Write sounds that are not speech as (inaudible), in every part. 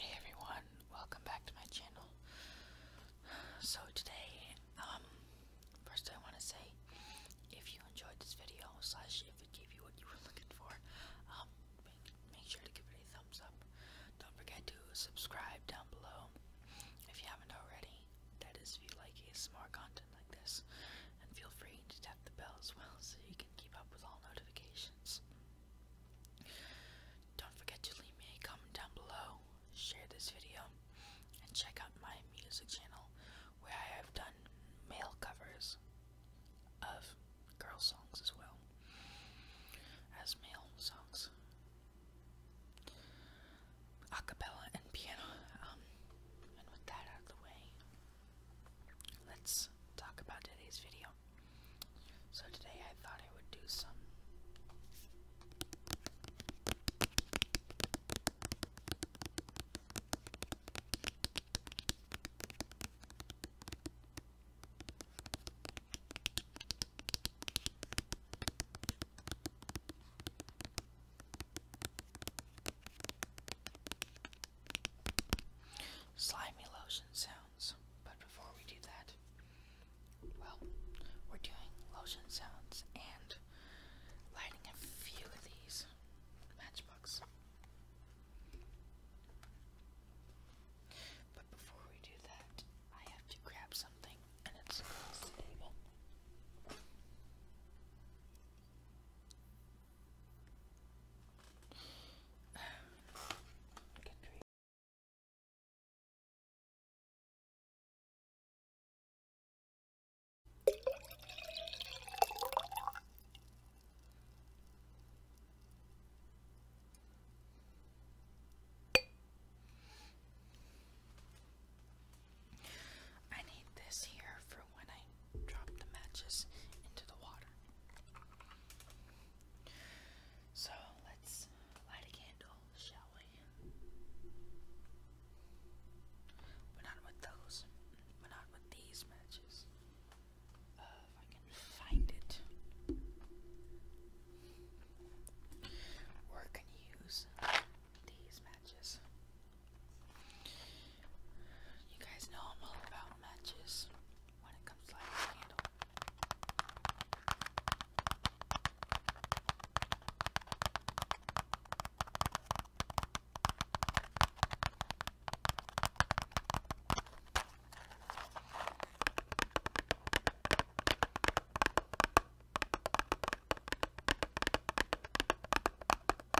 Hey everyone, welcome back to my channel. So today, um, first I want to say, if you enjoyed this video, slash if it gave you what you were looking for, um, make, sure to give it a thumbs up. Don't forget to subscribe down below if you haven't already. That is, if you like ASMR content like this, and feel free to tap the bell as well so you can keep up with all notifications. Don't forget to leave me a comment down below, share this video, and check out my music channel where I have done male covers of girl songs as well as male songs. Acapella and piano. Um, and with that out of the way, let's talk about today's video. So, today I thought I would do some Slimy lotion sounds. But before we do that, well, we're doing lotion sounds and lighting a few of these matchbooks. But before we do that, I have to grab something and it's across the table. I need this here for when I dropped the matches into the water. So let's light a candle, shall we? But not with those, but not with these matches. Uh, if I can find it. We're gonna use these matches. You guys know I'm all about matches when it comes to lighting a candle. We're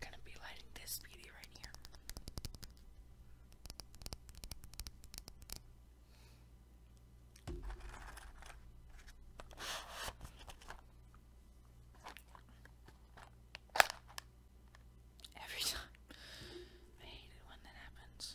going to be lighting this beauty right here. Every (laughs) time. I hate it when that happens.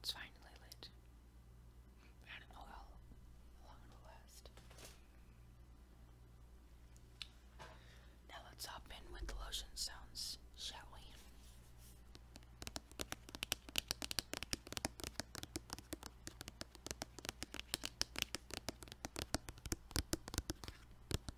It's finally lit. I don't oh, know how long it'll last. Now let's hop in with the lotion sounds, shall we?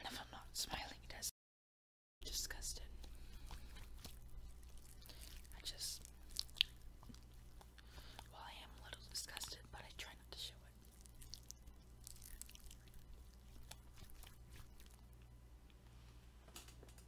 And I'm not smiling, that's disgusted. I just, well, I am a little disgusted, but I try not to show it.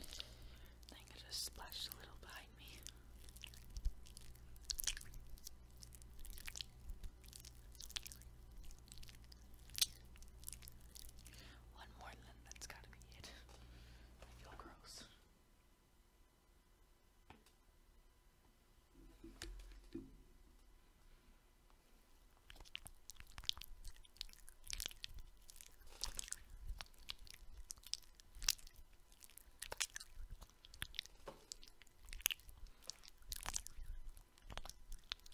I think I just splashed a little behind me. One more then that's gotta be it. I feel gross.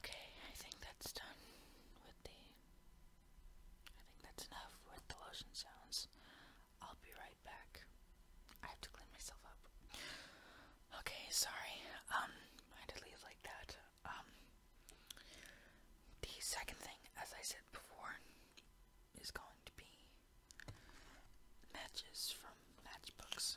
Okay, I think that's done with the. I think that's enough with the lotion sounds. I'll be right back. I have to clean myself up. Okay, sorry. Um, I had leave like that. Um, the second thing, as I said before, is going to be matches from matchbooks.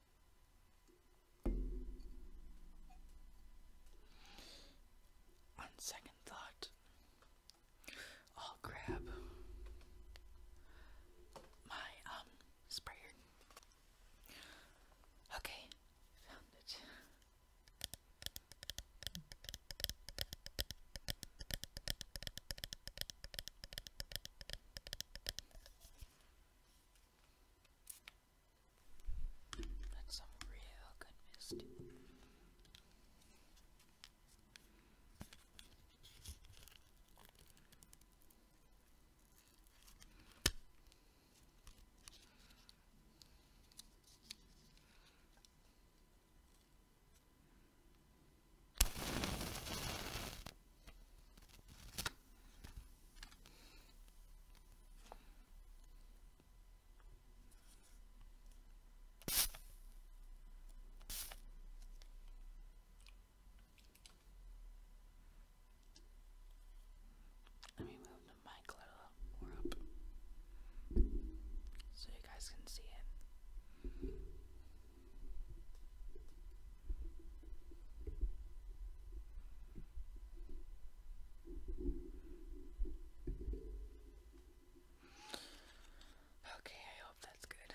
On second thought, I'll grab my um sprayer. Okay, found it. That's some real good mist. Let me move the mic a little more up so you guys can see it. Okay, I hope that's good.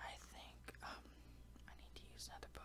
I think um I need to use another book.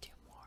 Two more.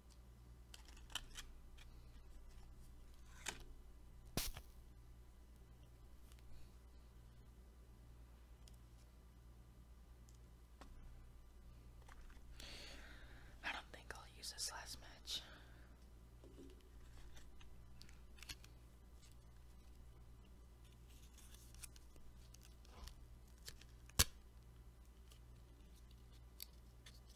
I don't think I'll use this last match.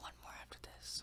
One more after this.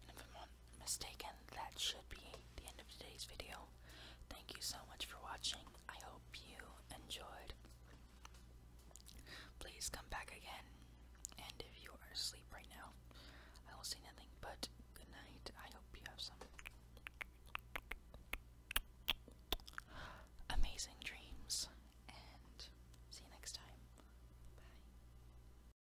And if I'm not mistaken, that should be the end of today's video. Thank you so much for watching. I hope you enjoyed. Please come back again. And if you are asleep right now, I will say nothing but good night. I hope you have some amazing dreams. And see you next time. Bye.